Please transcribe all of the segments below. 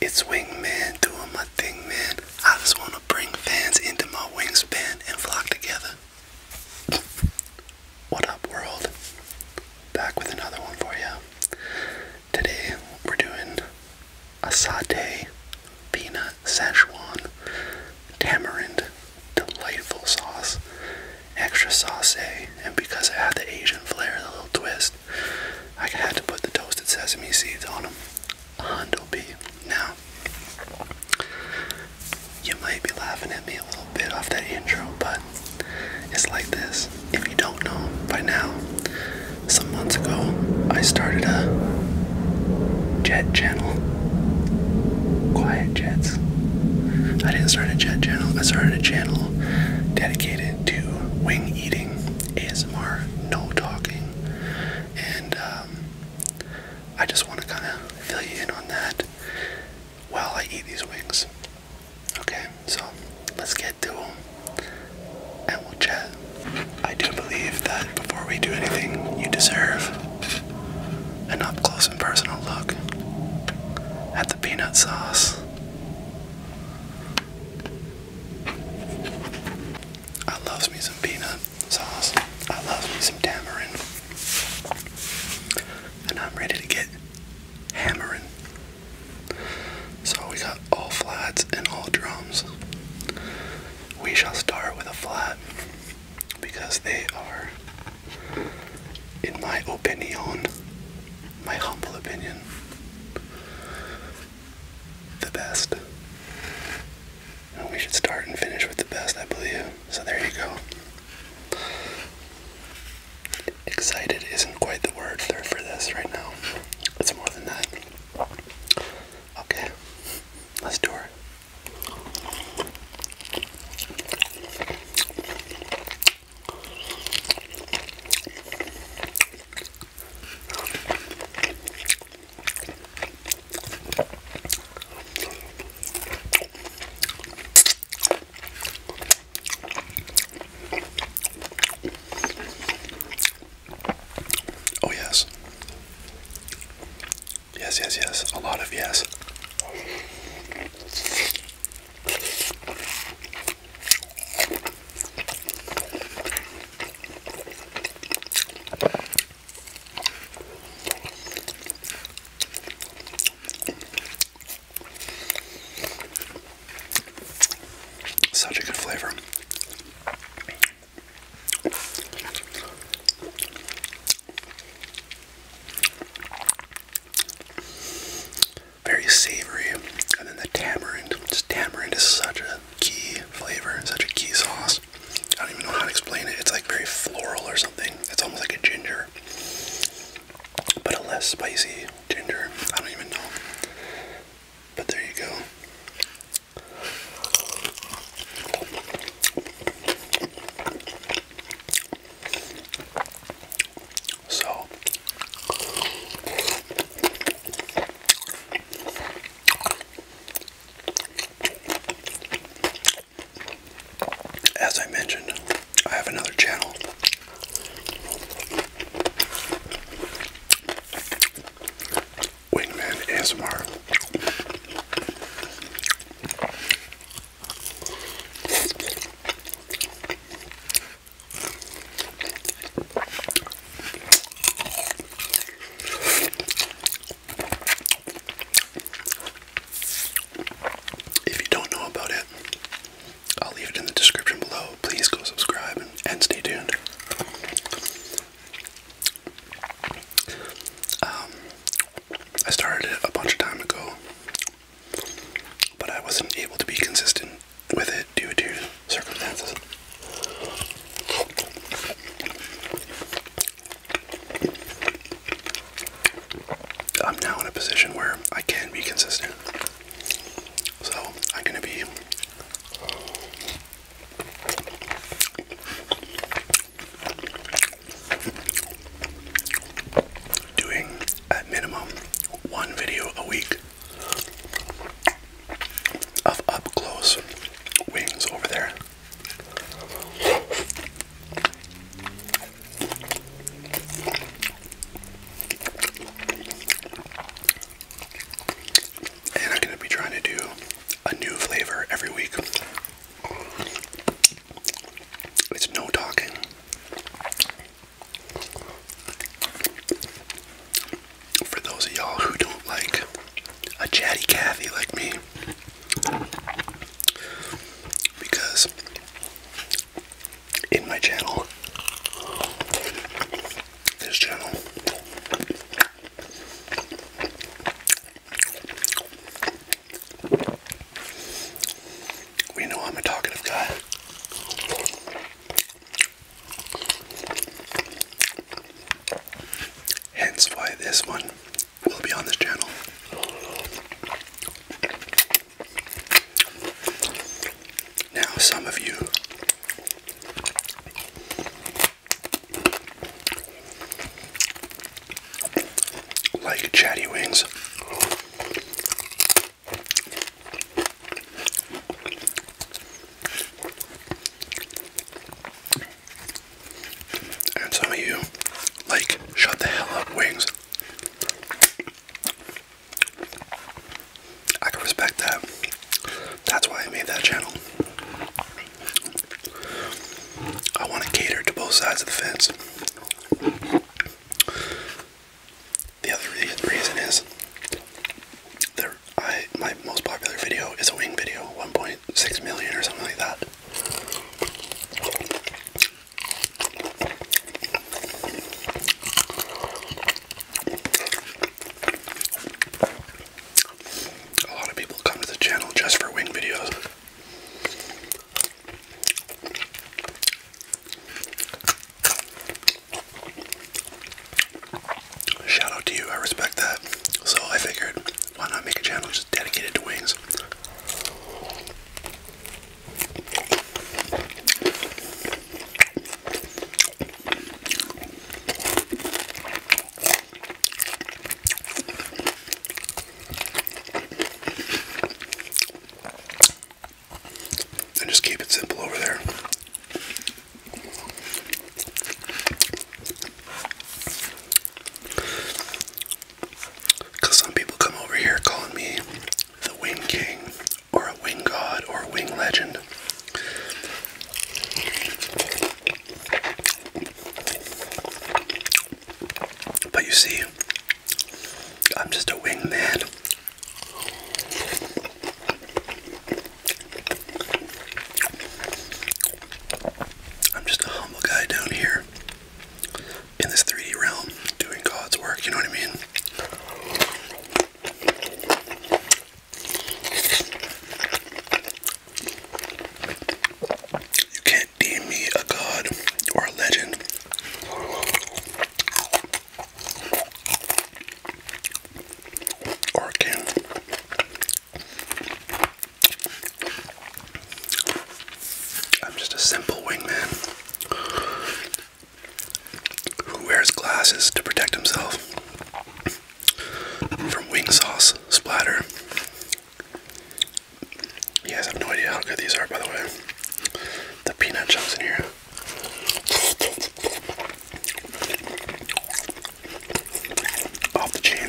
It's Wingman doing my thing, man. I just want to bring fans into my wingspan and flock together. what up, world? Back with another one for you. Today, we're doing a satay, peanut, Szechuan, tamarind, delightful sauce, extra sauce, eh? and because it had the Asian flair, the little twist. I had to put the toasted sesame seeds on them. Hondo be Now, you might be laughing at me a little bit off that intro, but it's like this. If you don't know by now, some months ago, I started a jet channel. Quiet Jets. I didn't start a jet channel, I started a channel dedicated to wing eating ASMR, no talking, and um, I just want to kind of fill you in on that while I eat these wings. Okay, so let's get to them and we'll chat. I do believe that before we do anything, you deserve an up close and personal look at the peanut sauce. I love me some peanut sauce. I love me some tamarind. And I'm ready to get hammering. So we got all flats and all drums. We shall start with a flat because they are, in my opinion, my humble opinion, the best. And we should start and finish with the best, I believe. So there you go. Excited isn't quite the word for this right now. It's more than that. Okay, let's do it. Oh, yes. Yes, yes, yes. A lot of yes. Such a good flavor very savory. And then the tamarind. Just tamarind is such a key flavor, such a key sauce. I don't even know how to explain it. It's like very floral or something. It's almost like a ginger, but a less spicy ginger. I don't even know. But there you go. So as I mentioned, I have another channel. Wingman ASMR. If you don't know about it, I'll leave it in the description below. Please go subscribe and, stay tuned. Um, I started it a bunch of time ago but I wasn't able to be consistent with it due to circumstances. I'm now in a position where I can be consistent. So I'm going to be doing at minimum one video a week of up close wings over there. And I'm going to be trying to do a new flavor every week. It's no talking. For those of y'all who don't like a chatty Cathy like me, because in my channel, this channel, we know I'm a talkative guy. Hence why this one will be on this channel. Now, some of you like chatty wings. And some of you like shut the hell up wings. I can respect that. That's why I made that channel. I want to cater to both sides of the fence. The other reason is there, my most popular video is a wing video, 1.6 million or something like that. A lot of people come to the channel just for wing videos. Shout out to you, I respect that. So I figured, why not make a channel just dedicated to wings? And just keep it simple over there. Because some people come over here calling me the Wing King or a Wing God or a Wing Legend. But you see, I'm just a wingman. I'm just a humble guy down here in this 3D realm doing God's work, you know what I mean? You can't deem me a god or a legend. Or a king. I'm just a simple wingman who wears glasses to protect himself from Wing Sauce Splatter. You guys have no idea how good these are, by the way. The peanut chunks in here. Off the chain.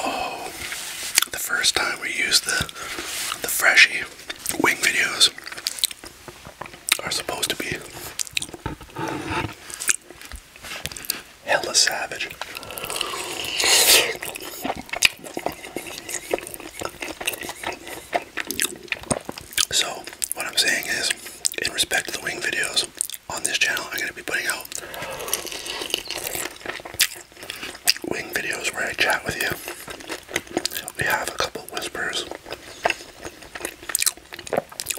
Oh, the first time we used the the freshie wing videos are supposed to be hella savage. So, what I'm saying is, in respect to the wing videos, on this channel, I'm going to be putting out wing videos where I chat with you. We have a couple whispers,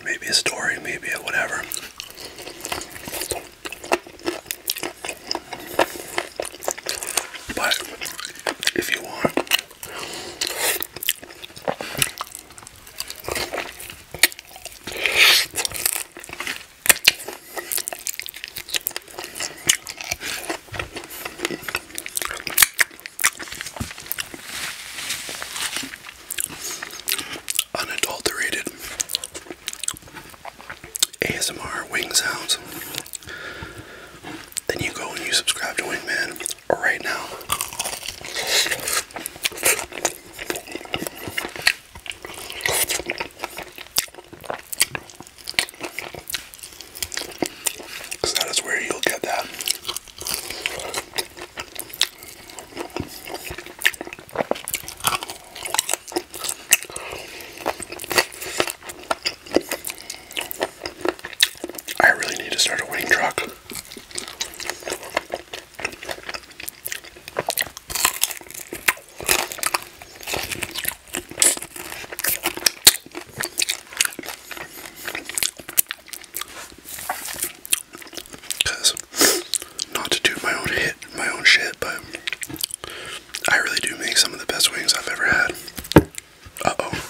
maybe a story, maybe a whatever. But if you want, Unadulterated ASMR wing sounds. Then you go and you subscribe to Wingman right now that is where you'll get that. I really need to start a wing truck. Cause not to do my own hit, my own shit, but I really do make some of the best wings I've ever had. Uh oh.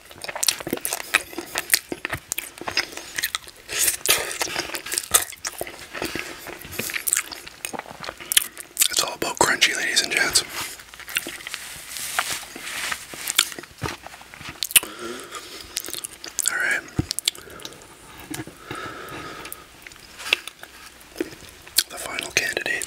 It's all about crunchy, ladies and gents. All right. The final candidate.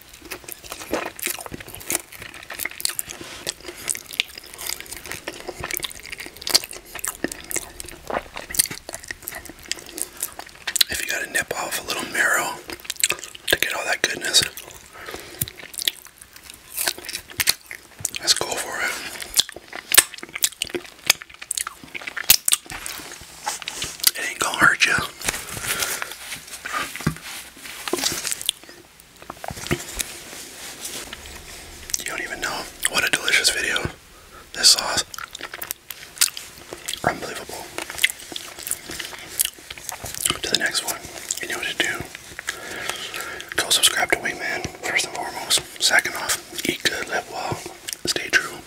If you gotta nip off a little marrow to get all that goodness, let's go for it. It ain't gonna hurt you. You don't even know what a delicious video this sauce. Unbelievable. To the next one. You know what to do. Go subscribe to Wingman, first and foremost. Second off, eat good, live well, stay true.